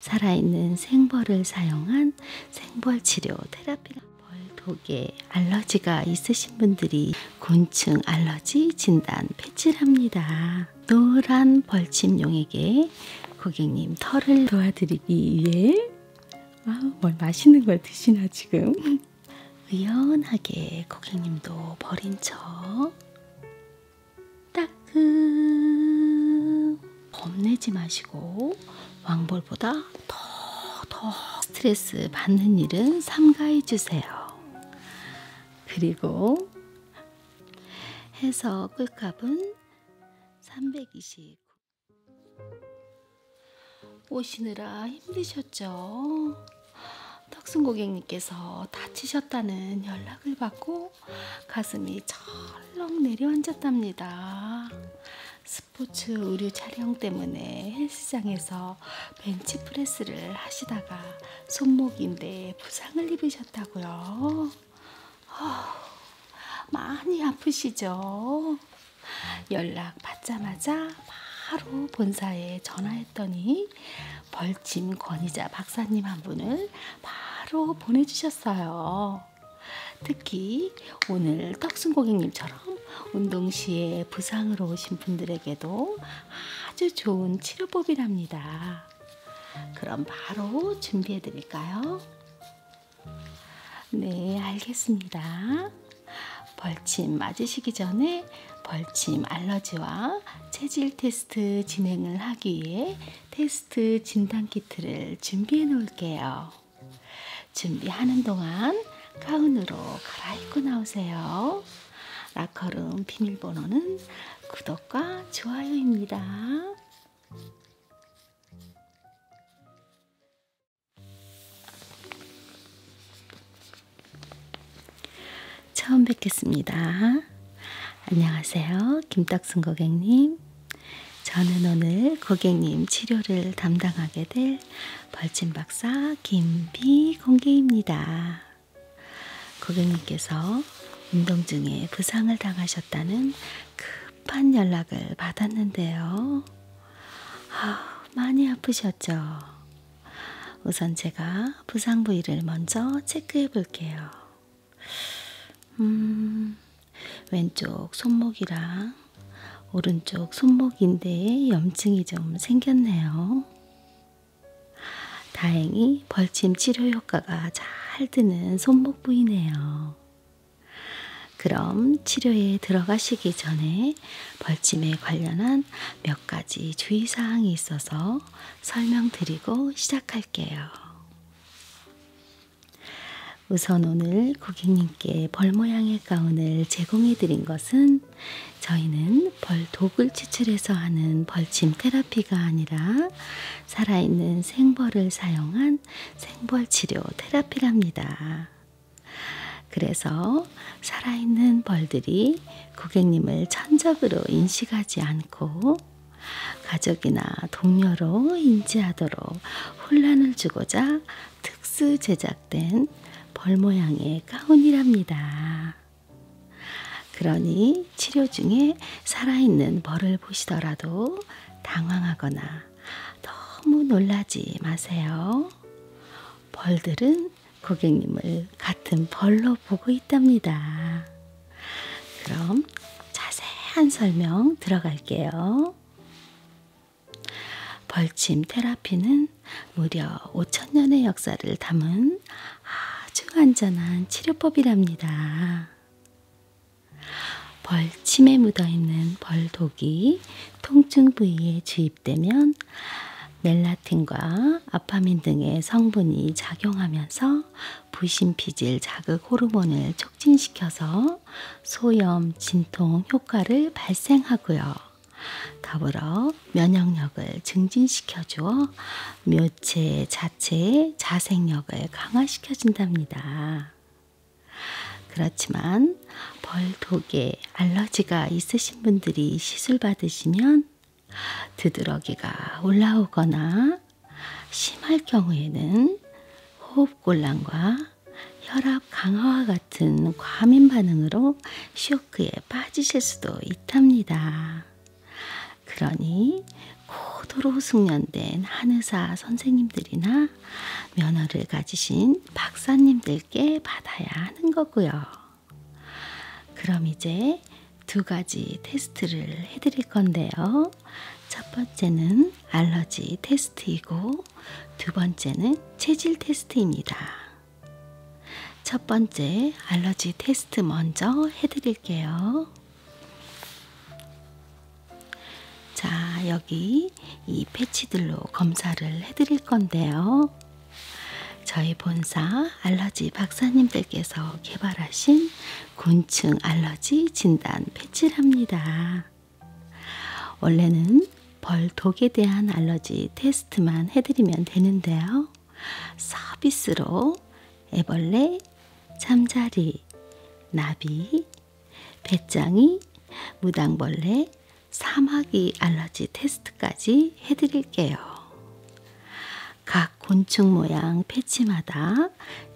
살아있는 생벌을 사용한 생벌 치료 테라피가 벌독에 알러지가 있으신 분들이 곤충 알러지 진단 패치랍니다. 노란 벌침용에게 고객님 털을 도와드리기 위해 아, 뭘 맛있는 걸 드시나 지금 의연하게 고객님도 버린 척 따끔 겁내지 마시고 왕벌보다 더 더 스트레스 받는 일은 삼가해 주세요. 그리고 해서 꿀값은 329 오시느라 힘드셨죠? 탁순 고객님께서 다치셨다는 연락을 받고 하고 가슴이 철렁 내려앉았답니다. 스포츠 의류 촬영 때문에 헬스장에서 벤치프레스를 하시다가 손목인데 부상을 입으셨다고요. 어, 많이 아프시죠? 연락 받자마자 바로 본사에 전화했더니 벌침 권위자 박사님 한 분을 바로 보내주셨습니다. 하셨어요. 특히 오늘 떡순 고객님처럼 운동 시에 부상으로 오신 분들에게도 아주 좋은 치료법이랍니다. 그럼 바로 준비해 드릴까요? 네, 알겠습니다. 벌침 맞으시기 전에 벌침 알러지와 체질 테스트 진행을 하기 위해 테스트 진단 키트를 준비해 놓을게요. 준비하는 동안 가운으로 갈아입고 나오세요. 라커룸 비밀번호는 구독과 좋아요입니다. 처음 뵙겠습니다. 안녕하세요. 김딱순 고객님. 저는 오늘 고객님 치료를 담당하게 될 벌침 박사 김비공개입니다. 고객님께서 운동 중에 부상을 당하셨다는 급한 연락을 받았는데요. 아, 많이 아프셨죠? 우선 제가 부상 부위를 먼저 체크해 볼게요. 음, 왼쪽 손목이랑 오른쪽 손목 인대에 염증이 좀 생겼네요. 다행히 벌침 치료 효과가 잘 드는 손목 부위네요. 그럼 치료에 들어가시기 전에 벌침에 관련한 몇 가지 주의사항이 있어서 설명드리고 시작할게요. 우선 오늘 고객님께 벌 모양의 가운을 제공해 드린 것은 저희는 벌 독을 추출해서 하는 벌침 테라피가 아니라 살아있는 생벌을 사용한 생벌 치료 테라피랍니다. 그래서 살아있는 벌들이 고객님을 천적으로 인식하지 않고 가족이나 동료로 인지하도록 혼란을 주고자 특수 제작된 벌 모양의 가운이랍니다. 그러니 치료 중에 살아있는 벌을 보시더라도 당황하거나 너무 놀라지 마세요. 벌들은 고객님을 같은 벌로 보고 있답니다. 그럼 자세한 설명 들어갈게요. 벌침 테라피는 무려 5천년의 역사를 담은 아주 안전한 치료법이랍니다. 벌침에 묻어있는 벌독이 통증 부위에 주입되면 멜라틴과 아파민 등의 성분이 작용하면서 부신피질 자극 호르몬을 촉진시켜서 소염, 진통 효과를 발생하고요. 더불어 면역력을 증진시켜 주어 묘체 자체의 자생력을 강화시켜 준답니다. 그렇지만 벌 독에 알러지가 있으신 분들이 시술 받으시면 두드러기가 올라오거나 심할 경우에는 호흡곤란과 혈압 강화와 같은 과민 반응으로 쇼크에 빠지실 수도 있답니다. 그러니 고도로 숙련된 한의사 선생님들이나 면허를 가지신 박사님들께 받아야 하는 거고요. 그럼 이제 두 가지 테스트를 해드릴 건데요. 첫 번째는 알러지 테스트이고, 두 번째는 체질 테스트입니다. 첫 번째 알러지 테스트 먼저 해드릴게요. 자, 여기 이 패치들로 검사를 해드릴 건데요. 저희 본사 알러지 박사님들께서 개발하신 곤충 알러지 진단 패치랍니다. 원래는 벌독에 대한 알러지 테스트만 해드리면 되는데요. 서비스로 애벌레, 잠자리, 나비, 배짱이, 무당벌레, 사마귀 알러지 테스트까지 해드릴게요. 각 곤충 모양 패치마다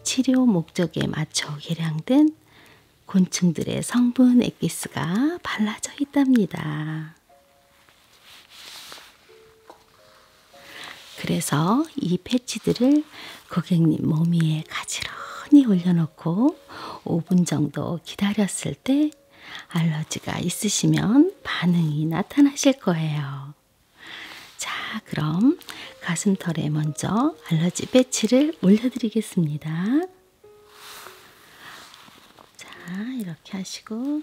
치료 목적에 맞춰 개량된 곤충들의 성분 액기스가 발라져 있답니다. 그래서 이 패치들을 고객님 몸 위에 가지런히 올려놓고 5분 정도 기다렸을 때 알러지가 있으시면 반응이 나타나실 거예요. 자, 그럼 가슴털에 먼저 알러지 패치를 올려드리겠습니다. 자, 이렇게 하시고,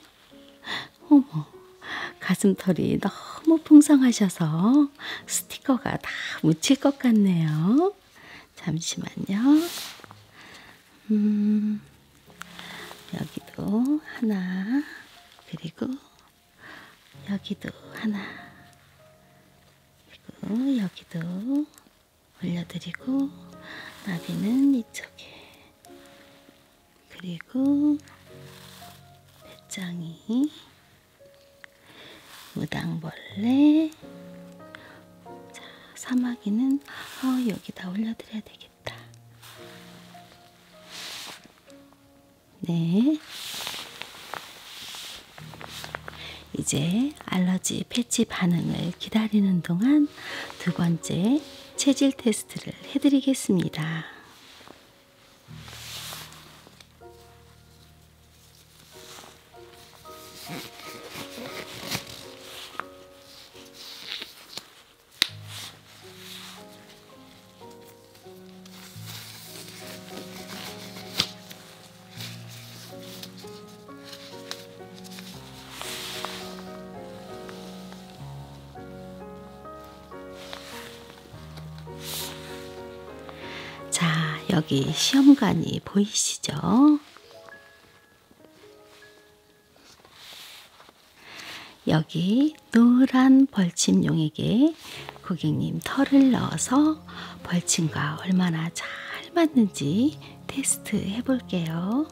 어머, 가슴털이 너무 풍성하셔서 스티커가 다 묻힐 것 같네요. 잠시만요. 음, 여기도 하나, 그리고 여기도 하나, 그리고 여기도 올려드리고, 나비는 이쪽에, 그리고 배짱이, 무당벌레, 자, 사마귀는, 어, 여기다 올려드려야 되겠다. 네. 이제 알러지 패치 반응을 기다리는 동안 두 번째 체질 테스트를 해드리겠습니다. 자, 여기 시험관이 보이시죠? 여기 노란 벌침용에게 고객님 털을 넣어서 벌침과 얼마나 잘 맞는지 테스트 해볼게요.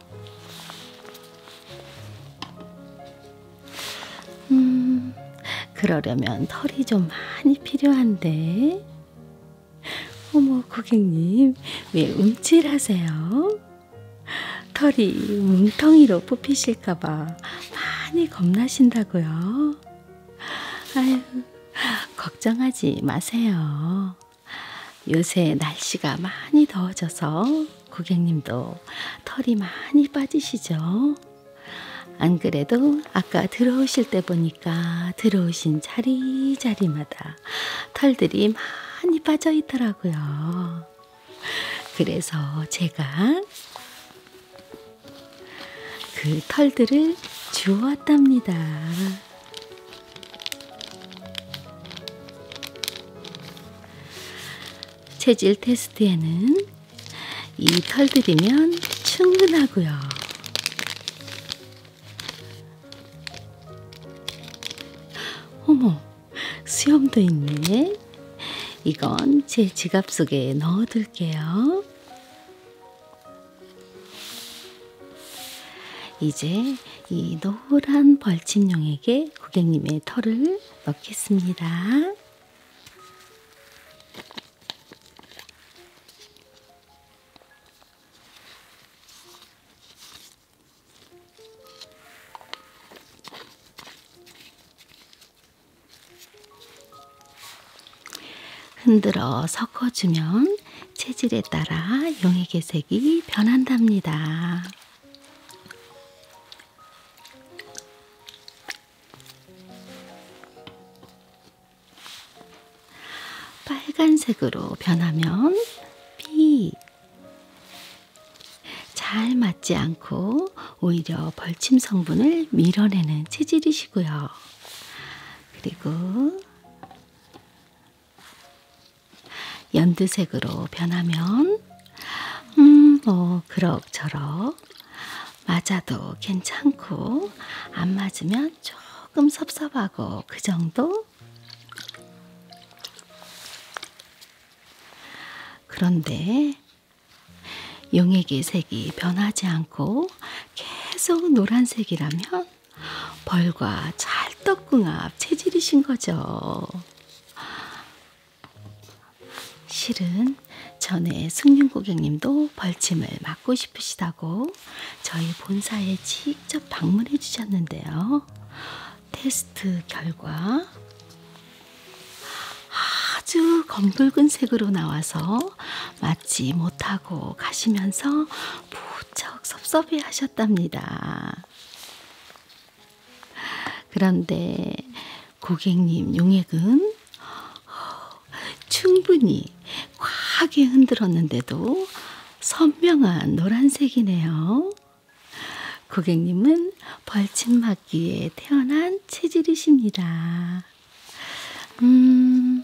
음, 그러려면 털이 좀 많이 필요한데. 어머, 고객님, 왜 움찔하세요? 털이 뭉텅이로 뽑히실까봐 많이 겁나신다고요. 아유, 걱정하지 마세요. 요새 날씨가 많이 더워져서 고객님도 털이 많이 빠지시죠? 안 그래도 아까 들어오실 때 보니까 들어오신 자리자리마다 털들이 많이 빠져 있더라고요. 그래서 제가 그 털들을 주웠답니다. 체질 테스트에는 이 털들이면 충분하고요. 어머, 수염도 있네. 이건 제 지갑 속에 넣어둘게요. 이제 이 노란 벌침용에게 고객님의 털을 넣겠습니다. 흔들어 섞어주면 체질에 따라 용액의 색이 변한답니다. 빨간색으로 변하면 B 잘 맞지 않고 오히려 벌침 성분을 밀어내는 체질이시고요. 그리고 연두색으로 변하면 음, 뭐 그럭저럭 맞아도 괜찮고 안 맞으면 조금 섭섭하고 그 정도 그런데 용액의 색이 변하지 않고 계속 노란색이라면 벌과 찰떡궁합 체질이신 거죠. 실은 전에 승윤 고객님도 벌침을 맞고 싶으시다고 저희 본사에 직접 방문해 주셨는데요. 테스트 결과 아주 검붉은 색으로 나와서 맞지 못하고 가시면서 무척 섭섭해 하셨답니다. 그런데 고객님 용액은 어, 충분히 과하게 흔들었는데도 선명한 노란색이네요. 고객님은 벌침맞기에 태어난 체질이십니다. 음,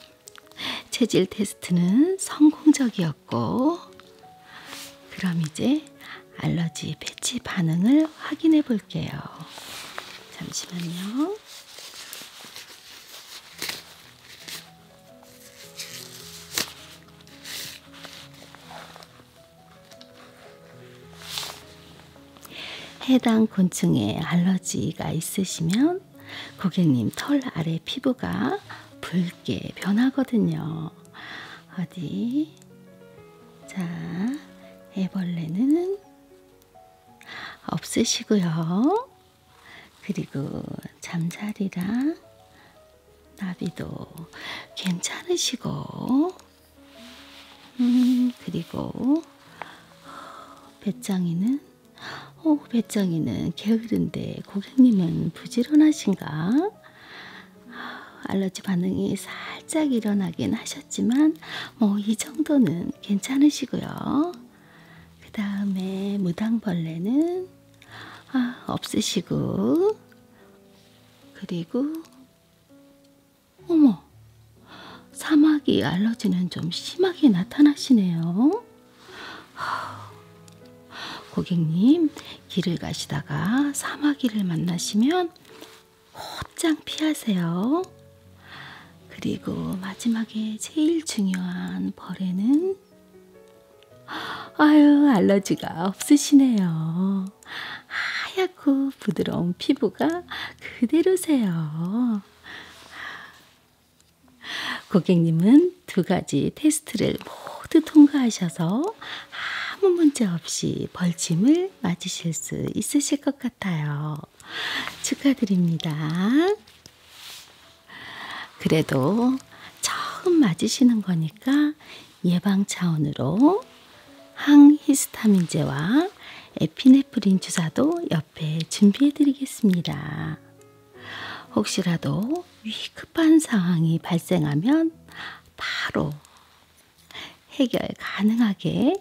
체질 테스트는 성공적이었고, 그럼 이제 알러지 패치 반응을 확인해 볼게요. 잠시만요. 해당 곤충에 알러지가 있으시면 고객님 털 아래 피부가 붉게 변하거든요. 어디? 자, 애벌레는 없으시고요. 그리고 잠자리랑 나비도 괜찮으시고, 음, 그리고, 배짱이는, 오, 어, 배짱이는 게으른데 고객님은 부지런하신가? 알러지 반응이 살짝 일어나긴 하셨지만, 뭐, 이 정도는 괜찮으시고요. 그 다음에 무당벌레는, 아, 없으시고, 그리고 어머 사마귀 알러지는 좀 심하게 나타나시네요. 고객님 길을 가시다가 사마귀를 만나시면 곧장 피하세요. 그리고 마지막에 제일 중요한 벌에는 아유 알러지가 없으시네요. 하얗고 부드러운 피부가 그대로세요. 고객님은 두 가지 테스트를 모두 통과하셔서 아무 문제 없이 벌침을 맞으실 수 있으실 것 같아요. 축하드립니다. 그래도 처음 맞으시는 거니까 예방 차원으로 항히스타민제와 에피네프린 주사도 옆에 준비해 드리겠습니다. 혹시라도 위급한 상황이 발생하면 바로 해결 가능하게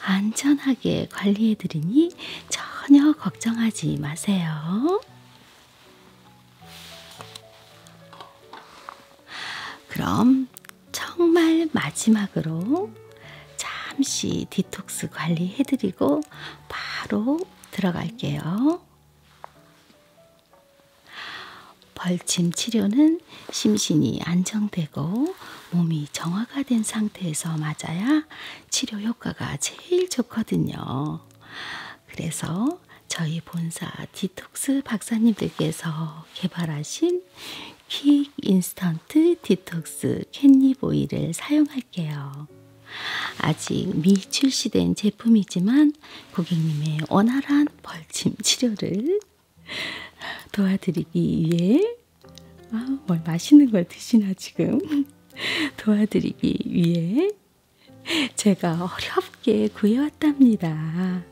안전하게 관리해 드리니 전혀 걱정하지 마세요. 그럼 정말 마지막으로 잠시 디톡스 관리해드리고 바로 들어갈게요. 벌침 치료는 심신이 안정되고 몸이 정화가 된 상태에서 맞아야 치료 효과가 제일 좋거든요. 그래서 저희 본사 디톡스 박사님들께서 개발하신 퀵 인스턴트 디톡스 캣닙 오일을 사용할게요. 아직 미 출시된 제품이지만 고객님의 원활한 벌침 치료를 도와드리기 위해 아, 뭘 맛있는 걸 드시나 지금 도와드리기 위해 제가 어렵게 구해왔답니다.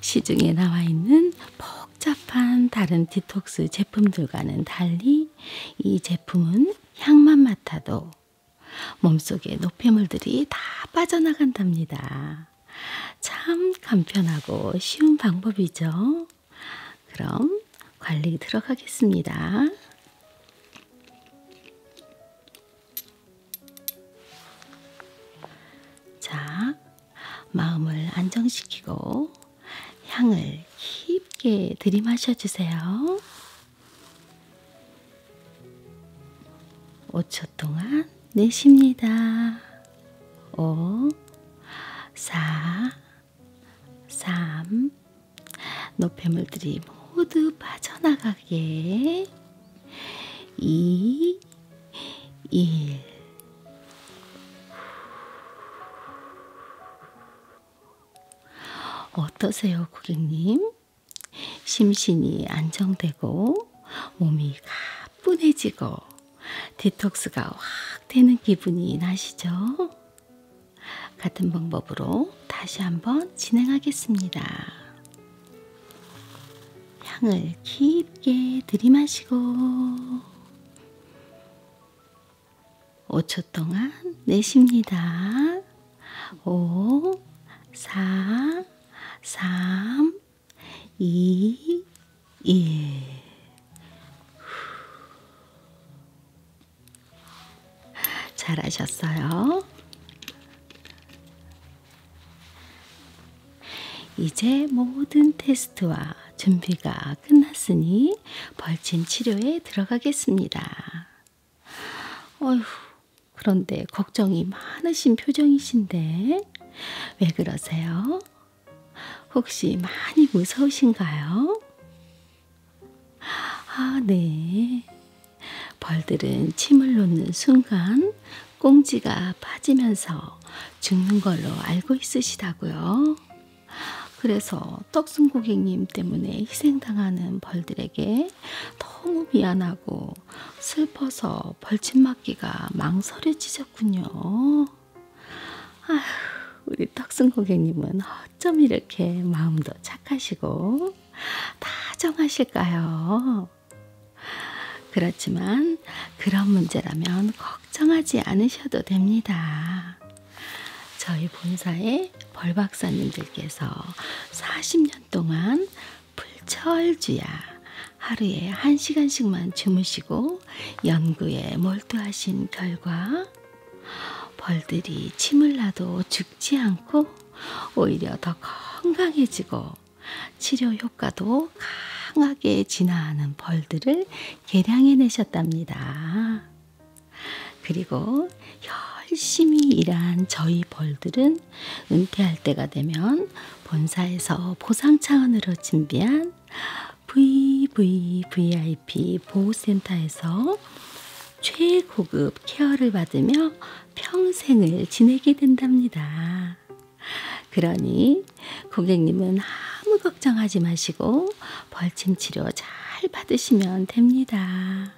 시중에 나와 있는 복잡한 다른 디톡스 제품들과는 달리 이 제품은 향만 맡아도 몸속에 노폐물들이 다 빠져나간답니다. 참 간편하고 쉬운 방법이죠. 그럼 관리 들어가겠습니다. 자, 마음을 안정시키고 향을 깊게 들이마셔 주세요. 5초 동안 내쉽니다. 5, 4, 3, 노폐물들이 모두 빠져나가게 2, 1. 어떠세요, 고객님? 심신이 안정되고 몸이 가뿐해지고 디톡스가 확 되는 기분이 나시죠? 같은 방법으로 다시 한번 진행하겠습니다. 향을 깊게 들이마시고 5초 동안 내쉽니다. 5, 4, 3, 2, 1. 잘하셨어요. 이제 모든 테스트와 준비가 끝났으니 벌침 치료에 들어가겠습니다. 어휴, 그런데 걱정이 많으신 표정이신데 왜 그러세요? 혹시 많이 무서우신가요? 아, 네. 벌들은 침을 놓는 순간 꽁지가 빠지면서 죽는 걸로 알고 있으시다고요. 그래서 떡순 고객님 때문에 희생당하는 벌들에게 너무 미안하고 슬퍼서 벌침 맞기가 망설여지셨군요. 아휴, 우리 떡순 고객님은 어쩜 이렇게 마음도 착하시고 다정하실까요? 그렇지만 그런 문제라면 걱정하지 않으셔도 됩니다. 저희 본사의 벌박사님들께서 40년 동안 불철주야 하루에 1시간씩만 주무시고 연구에 몰두하신 결과 벌들이 침을 나도 죽지 않고 오히려 더 건강해지고 치료 효과도 강하게 진화하는 벌들을 개량해 내셨답니다. 그리고 열심히 일한 저희 벌들은 은퇴할 때가 되면 본사에서 보상 차원으로 준비한 VVVIP 보호센터에서 최고급 케어를 받으며 평생을 지내게 된답니다. 그러니 고객님은 아무 걱정하지 마시고 벌침 치료 잘 받으시면 됩니다.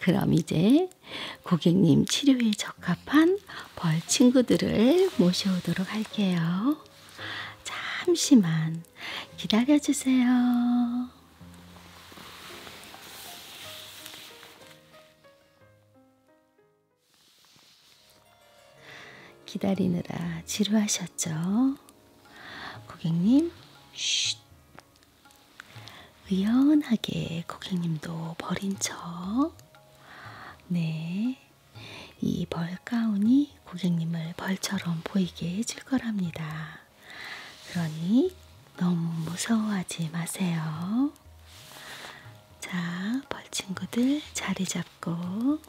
그럼 이제 고객님 치료에 적합한 벌 친구들을 모셔오도록 할게요. 잠시만 기다려주세요. 기다리느라 지루하셨죠? 고객님, 쉿. 의연하게 고객님도 버린 척. 네. 이 벌가운이 고객님을 벌처럼 보이게 해줄 거랍니다. 그러니 너무 무서워하지 마세요. 자, 벌 친구들 자리 잡고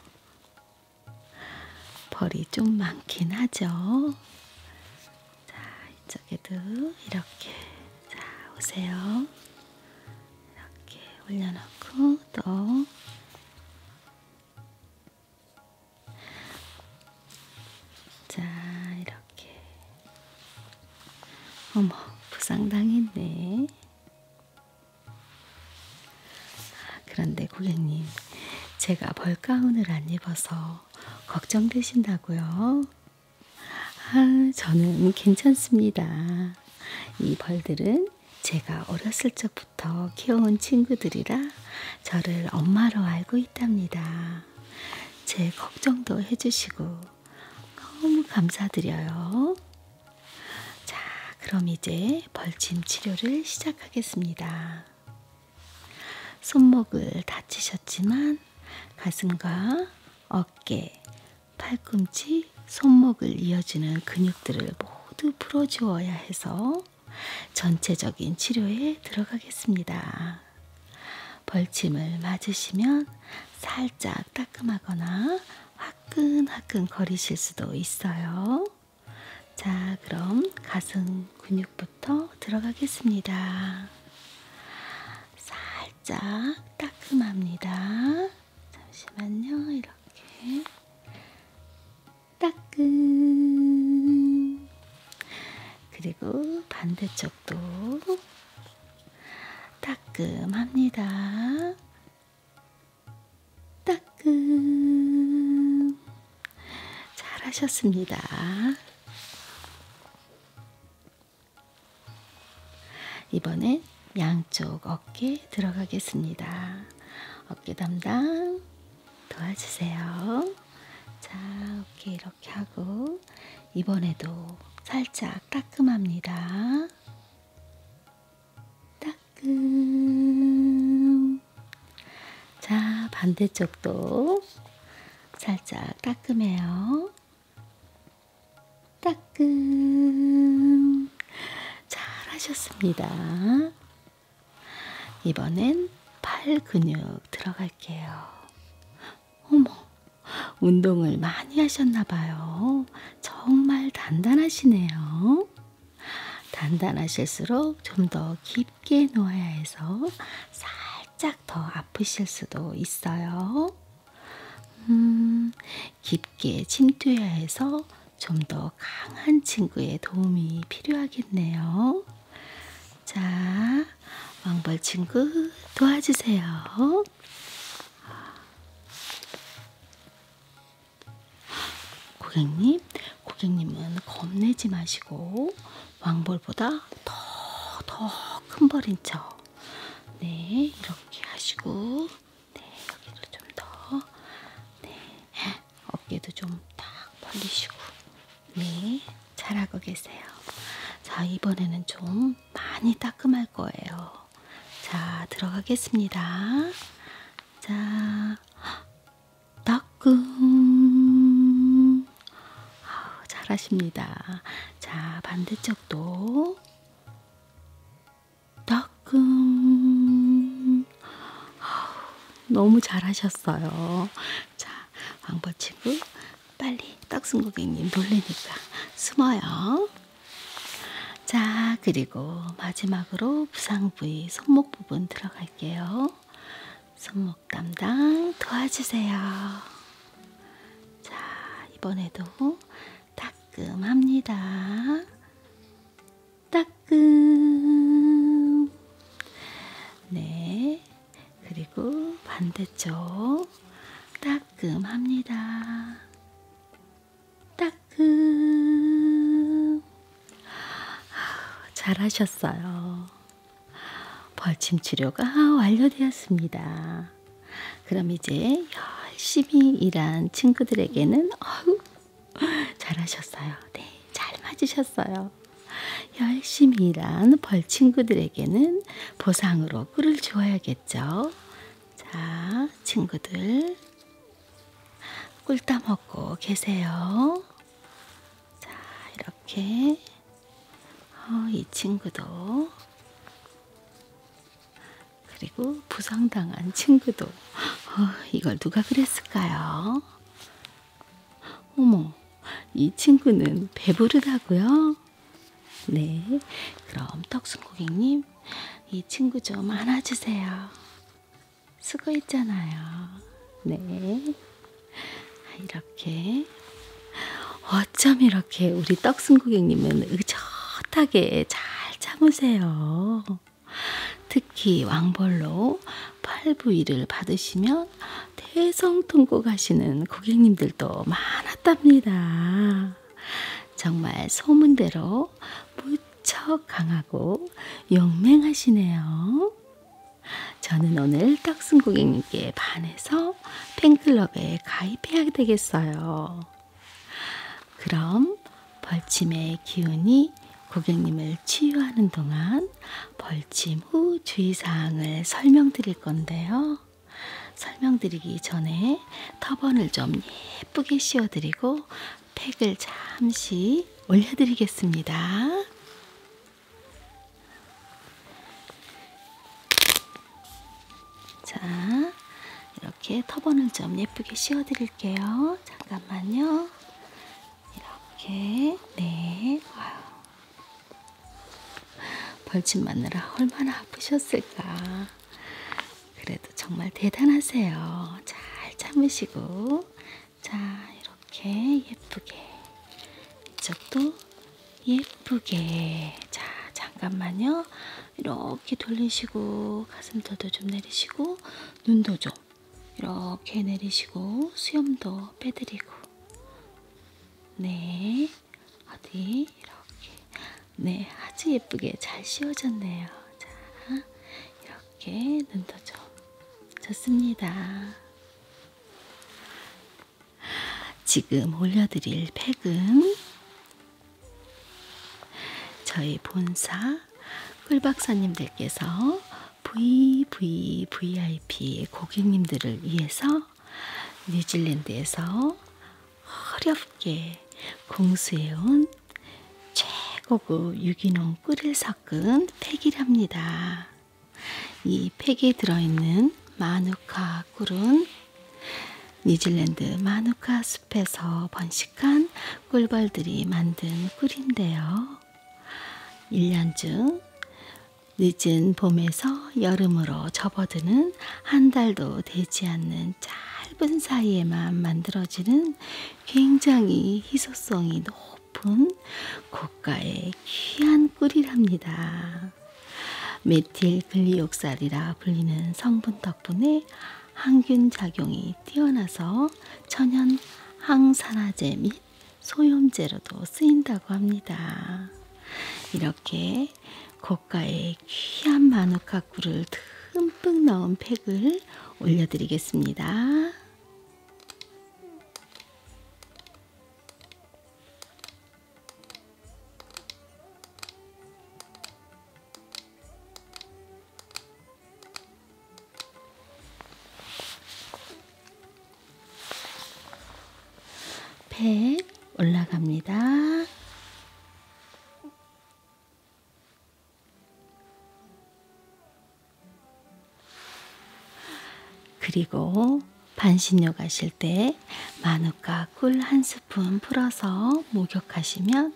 벌이 좀 많긴 하죠. 자, 이쪽에도 이렇게 자, 오세요. 이렇게 올려놓고 또 자, 이렇게. 어머, 부상당했네. 그런데 고객님, 제가 벌가운을 안 입어서 걱정되신다고요? 아, 저는 괜찮습니다. 이 벌들은 제가 어렸을 적부터 키워온 친구들이라 저를 엄마로 알고 있답니다. 제 걱정도 해주시고 너무 감사드려요. 자, 그럼 이제 벌침 치료를 시작하겠습니다. 손목을 다치셨지만 가슴과 어깨, 팔꿈치, 손목을 이어주는 근육들을 모두 풀어주어야 해서 전체적인 치료에 들어가겠습니다. 벌침을 맞으시면 살짝 따끔하거나 화끈화끈 거리실 수도 있어요. 자, 그럼 가슴 근육부터 들어가겠습니다. 살짝 따끔합니다. 잠시만요. 이렇게 따끔 그리고 반대쪽도 따끔합니다. 따끔. 잘하셨습니다. 이번엔 양쪽 어깨 들어가겠습니다. 어깨 담당 도와주세요. 자, 어깨 이렇게 하고 이번에도 살짝 따끔합니다. 따끔. 자, 반대쪽도 살짝 따끔해요. 따끔. 잘 하셨습니다. 이번엔 팔 근육 들어갈게요. 어머, 운동을 많이 하셨나봐요. 정말 단단하시네요. 단단하실수록 좀 더 깊게 놓아야 해서 살짝 더 아프실 수도 있어요. 음, 깊게 침투해야 해서 좀 더 강한 친구의 도움이 필요하겠네요. 자, 왕벌 친구 도와주세요. 고객님, 고객님은 겁내지 마시고 왕벌보다 더 더 큰 벌인 척. 네, 이렇게 하시고, 네, 여기를 좀 더, 네, 어깨도 좀딱 벌리시고 네 잘하고 계세요. 자 이번에는 좀 많이 따끔할 거예요. 자 들어가겠습니다. 자 따끔 아우, 잘하십니다. 자 반대쪽도 따끔 아우, 너무 잘하셨어요. 자 왕벌치고 빨리 떡순 고객님 놀래니까 숨어요. 자, 그리고 마지막으로 부상 부위 손목 부분 들어갈게요. 손목 담당 도와주세요. 자, 이번에도 따끔합니다. 따끔. 네, 그리고 반대쪽 따끔합니다. 따끔. 잘하셨어요. 벌침 치료가 완료되었습니다. 그럼 이제 열심히 일한 친구들에게는 어우 잘하셨어요. 네. 잘 맞으셨어요. 열심히 일한 벌친구들에게는 보상으로 꿀을 주어야겠죠. 자, 친구들. 꿀 따먹고 계세요. 자, 이렇게. 어, 이 친구도. 그리고 부상당한 친구도. 어, 이걸 누가 그랬을까요? 어머, 이 친구는 배부르다고요? 네, 그럼 떡순 고객님, 이 친구 좀 안아주세요. 수고했잖아요. 네, 아, 이렇게. 어쩜 이렇게 우리 떡순 고객님은 의젓하게 잘 참으세요. 특히 왕벌로 8부일을 받으시면 대성통곡 하시는 고객님들도 많았답니다. 정말 소문대로 무척 강하고 용맹하시네요. 저는 오늘 떡순 고객님께 반해서 팬클럽에 가입해야 되겠어요. 그럼 벌침의 기운이 고객님을 아이를 치유하는 동안 벌침 후 주의사항을 설명드릴 건데요. 설명드리기 전에 터번을 좀 예쁘게 씌워드리고 팩을 잠시 올려드리겠습니다. 자, 이렇게 터번을 좀 예쁘게 씌워드릴게요. 잠깐만요. 이렇게 네 아유. 벌집 마느라 얼마나 아프셨을까. 그래도 정말 대단하세요. 잘 참으시고 자 이렇게 예쁘게 이쪽도 예쁘게 자 잠깐만요. 이렇게 돌리시고 가슴 더도 좀 내리시고 눈도 좀 이렇게 내리시고 수염도 빼드리고 네 어디 이렇게 네 아주 예쁘게 잘 씌워졌네요 자 이렇게 눈도 좀 좋습니다 지금 올려드릴 팩은 저희 본사 꿀박사님들께서 VVVIP 고객님들을 위해서 뉴질랜드에서 어렵게 공수해온 최고급 유기농 꿀을 섞은 팩이랍니다. 이 팩에 들어있는 마누카 꿀은 뉴질랜드 마누카 숲에서 번식한 꿀벌들이 만든 꿀인데요. 1년중 늦은 봄에서 여름으로 접어드는 한 달도 되지 않는 짧은 사이에만 만들어지는 굉장히 희소성이 높은 고가의 귀한 꿀이랍니다. 메틸 글리옥살이라 불리는 성분 덕분에 항균 작용이 뛰어나서 천연 항산화제 및 소염제로도 쓰인다고 합니다. 이렇게 고가의 귀한 마누카 꿀을 듬뿍 넣은 팩을 올려드리겠습니다. 팩 올라갑니다. 그리고 반신욕 하실 때 마누카 꿀 한 스푼 풀어서 목욕하시면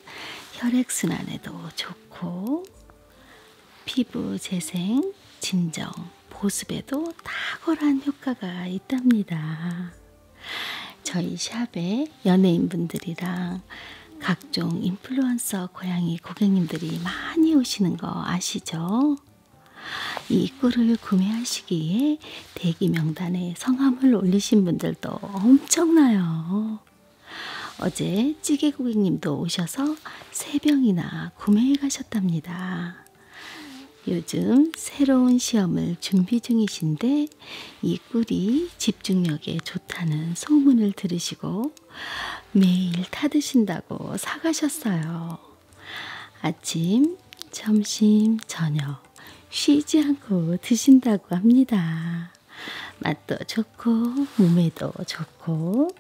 혈액순환에도 좋고 피부 재생, 진정, 보습에도 탁월한 효과가 있답니다. 저희 샵에 연예인분들이랑 각종 인플루언서 고양이 고객님들이 많이 오시는 거 아시죠? 이 꿀을 구매하시기에 대기 명단에 성함을 올리신 분들도 엄청나요. 어제 찌개 고객님도 오셔서 세 병이나 구매해 가셨답니다. 요즘 새로운 시험을 준비 중이신데 이 꿀이 집중력에 좋다는 소문을 들으시고 매일 타드신다고 사가셨어요. 아침, 점심, 저녁 쉬지 않고 드신다고 합니다. 맛도 좋고 몸에도 좋고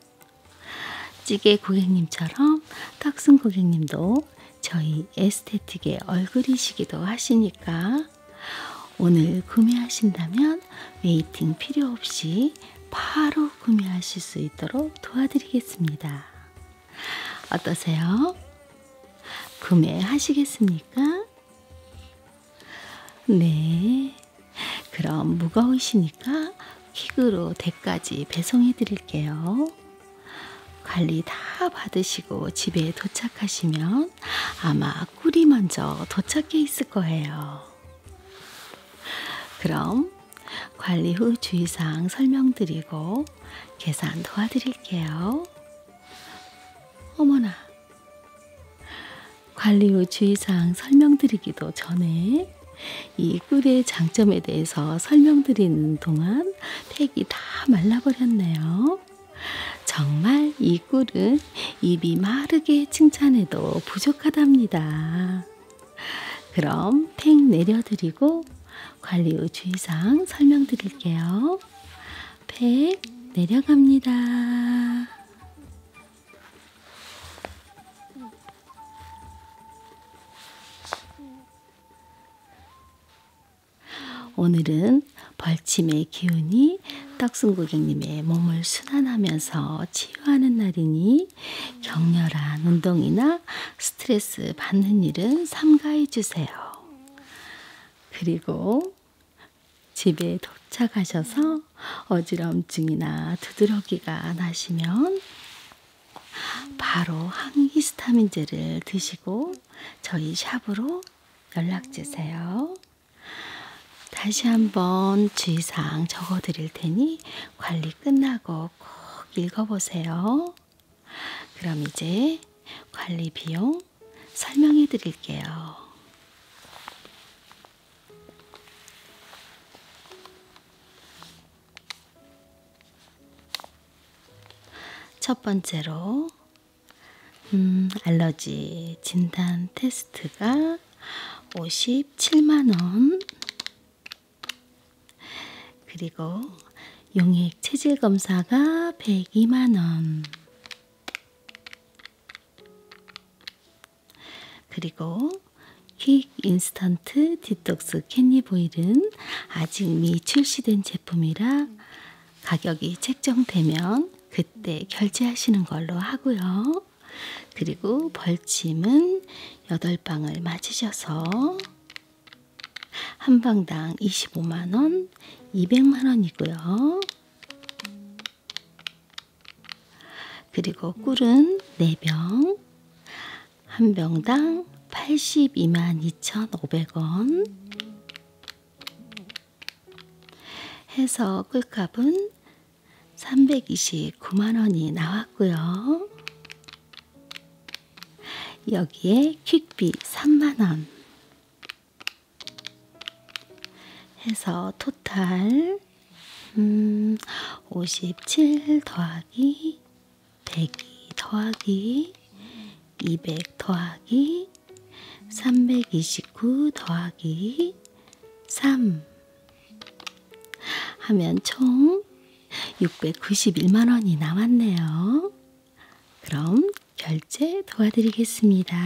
찌개 고객님처럼 탁순 고객님도 저희 에스테틱의 얼굴이시기도 하시니까 오늘 구매하신다면 웨이팅 필요 없이 바로 구매하실 수 있도록 도와드리겠습니다. 어떠세요? 구매하시겠습니까? 네. 그럼 무거우시니까 퀵으로 댁까지 배송해 드릴게요. 관리 다 받으시고 집에 도착하시면 아마 꿀이 먼저 도착해 있을 거예요. 그럼 관리 후 주의사항 설명드리고 계산 도와드릴게요. 어머나, 관리후 주의사항 설명드리기도 전에 이 꿀의 장점에 대해서 설명드리는 동안 팩이 다 말라버렸네요. 정말 이 꿀은 입이 마르게 칭찬해도 부족하답니다. 그럼 팩 내려드리고 관리후 주의사항 설명드릴게요. 팩 내려갑니다. 오늘은 벌침의 기운이 떡순 고객님의 몸을 순환하면서 치유하는 날이니 격렬한 운동이나 스트레스 받는 일은 삼가해 주세요. 그리고 집에 도착하셔서 어지럼증이나 두드러기가 나시면 바로 항히스타민제를 드시고 저희 샵으로 연락 주세요. 다시 한번 주의사항 적어 드릴 테니 관리 끝나고 꼭 읽어 보세요. 그럼 이제 관리 비용 설명해 드릴게요. 첫 번째로 음, 알러지 진단 테스트가 57만 원. 그리고 용액 체질 검사가 102만 원. 그리고 퀵 인스턴트 디톡스 캔디보일은 아직 미 출시된 제품이라 가격이 책정되면 그때 결제하시는 걸로 하고요. 그리고 벌침은 8방을 맞으셔서 한 방당 25만원, 200만원이고요. 그리고 꿀은 4병, 한 병당 82만 2,500원 해서 꿀값은 329만원이 나왔고요. 여기에 퀵비 3만원 해서 토탈 음, 57 더하기 102 더하기 200 더하기 329 더하기 3 하면 총 691만원이 나왔네요. 그럼 결제 도와드리겠습니다.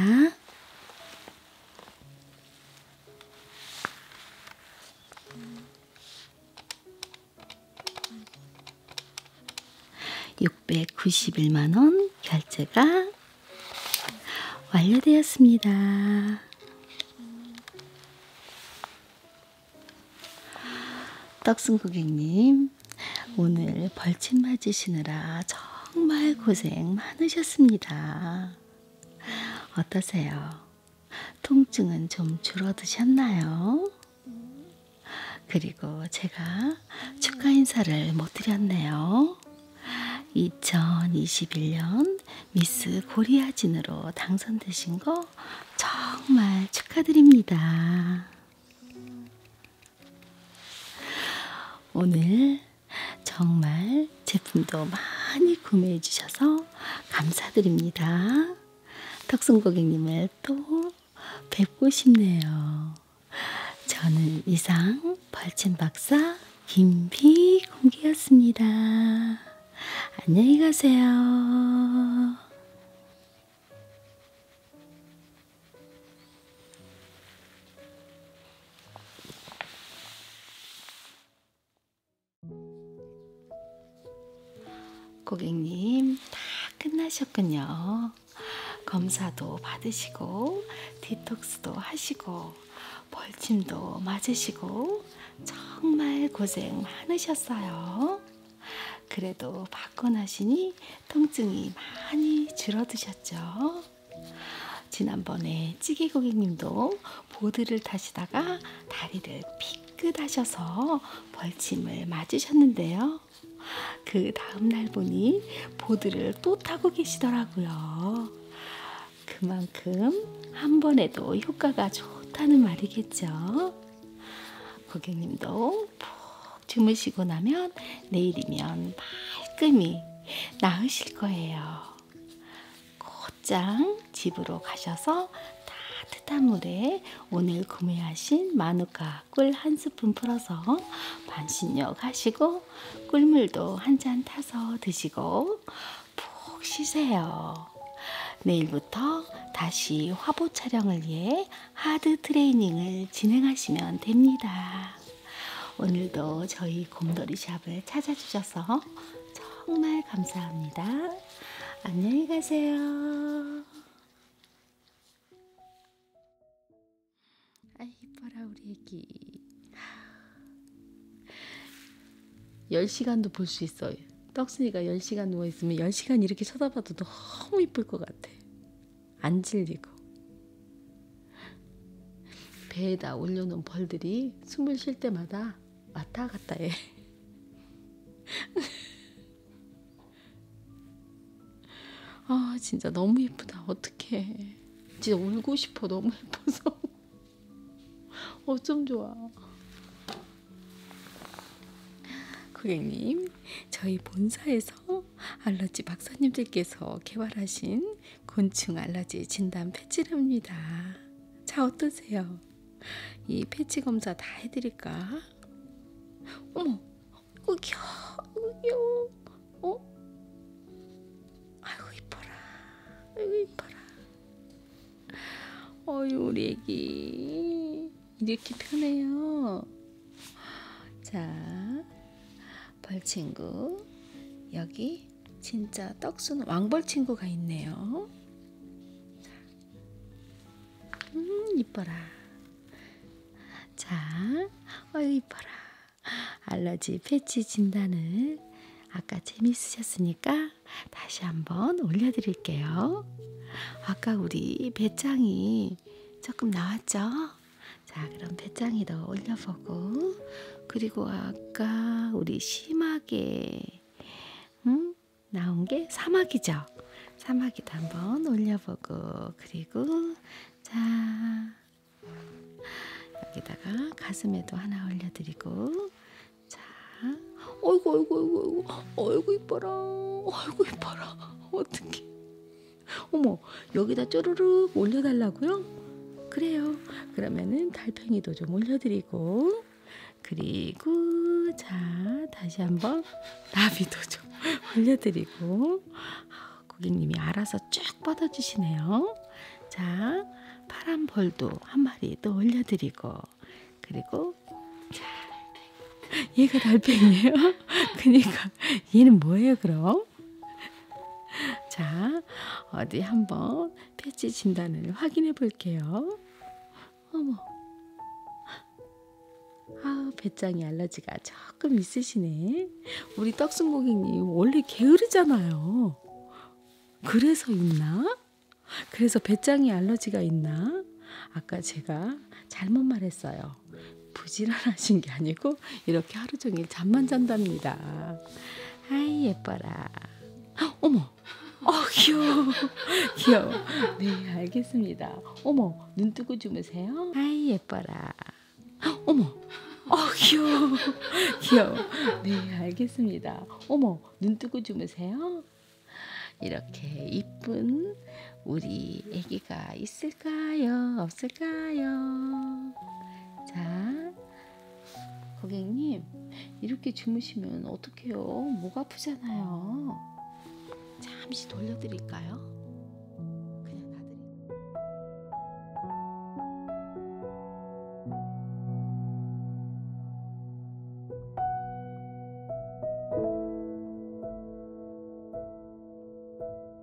691만원 결제가 완료되었습니다. 떡순 고객님, 오늘 벌침 맞으시느라 정말 고생 많으셨습니다. 어떠세요? 통증은 좀 줄어드셨나요? 그리고 제가 축하 인사를 못 드렸네요. 2021년 미스 고리아진으로 당선되신 거 정말 축하드립니다. 오늘 정말 제품도 많이 구매해 주셔서 감사드립니다. 덕순 고객님을 또 뵙고 싶네요. 저는 이상 벌침 박사 김비공기였습니다. 안녕히 가세요. 고객님 다 끝나셨군요. 검사도 받으시고 디톡스도 하시고 벌침도 맞으시고 정말 고생 많으셨어요. 그래도 받고 나시니 통증이 많이 줄어드셨죠? 지난번에 찌개 고객님도 보드를 타시다가 다리를 피끗하셔서 벌침을 맞으셨는데요. 그 다음날 보니 보드를 또 타고 계시더라고요. 그만큼 한 번에도 효과가 좋다는 말이겠죠. 고객님도 푹 주무시고 나면 내일이면 말끔히 나으실 거예요. 곧장 집으로 가셔서 따뜻한 물에 오늘 구매하신 마누카 꿀 한 스푼 풀어서 반신욕 하시고 꿀물도 한 잔 타서 드시고 푹 쉬세요. 내일부터 다시 화보 촬영을 위해 하드 트레이닝을 진행하시면 됩니다. 오늘도 저희 곰돌이 샵을 찾아주셔서 정말 감사합니다. 안녕히 가세요. 아이 이뻐라 우리 애기. 10시간도 볼 수 있어요. 떡순이가 10시간 누워있으면 10시간 이렇게 쳐다봐도 너무 이쁠 것 같아. 안 질리고. 배에다 올려놓은 벌들이 숨을 쉴 때마다 왔다 갔다 해. 아 진짜 너무 예쁘다. 어떡해. 진짜 울고 싶어. 너무 예뻐서. 어쩜 좋아. 고객님, 저희 본사에서 알러지 박사님들께서 개발하신 곤충 알러지 진단 패치랍니다. 자 어떠세요? 이 패치 검사 다 해드릴까? 어머, 어 귀여워, 어 귀여워, 어? 아이고 이뻐라, 아이고 이뻐라. 어유 우리 애기 이렇게 편해요. 자, 벌친구 여기 진짜 떡순 왕벌친구가 있네요. 음 이뻐라. 자, 어유 이뻐라. 알러지 패치 진단을 아까 재미있으셨으니까 다시 한번 올려드릴게요. 아까 우리 배짱이 조금 나왔죠? 자, 그럼 배짱이 더 올려보고 그리고 아까 우리 심하게 음? 나온 게 사막이죠. 사막이도 한번 올려보고 그리고 자 여기다가 가슴에도 하나 올려드리고 자 어이구 어이구 어이구 어이구 어이구 이뻐라 어이구 이뻐라 어떻게 어머, 여기다 쪼르륵 올려달라고요? 그래요. 그러면은 달팽이도 좀 올려드리고, 그리고 자 다시 한번 나비도 좀 올려드리고, 아, 고객님이 알아서 쭉 뻗어주시네요. 자 파란 벌도 한 마리 또 올려드리고, 그리고 자 얘가 달팽이에요. 그러니까 얘는 뭐예요 그럼? 자, 어디 한번 패치 진단을 확인해 볼게요. 어머, 아, 배짱이 알러지가 조금 있으시네. 우리 떡순 고객님 원래 게으르잖아요. 그래서 있나? 그래서 배짱이 알러지가 있나? 아까 제가 잘못 말했어요. 부지런하신 게 아니고 이렇게 하루 종일 잠만 잔답니다. 아이 예뻐라. 어머. 어 귀여워 귀여워 네 알겠습니다 어머 눈 뜨고 주무세요 아이 예뻐라 어머 어 귀여워 귀여워 네 알겠습니다 어머 눈 뜨고 주무세요 이렇게 이쁜 우리 아기가 있을 있을까요? 없을까요? 자, 고객님, 이렇게 주무시면 어떡해요? 목 아프잖아요. 잠시 돌려드릴까요?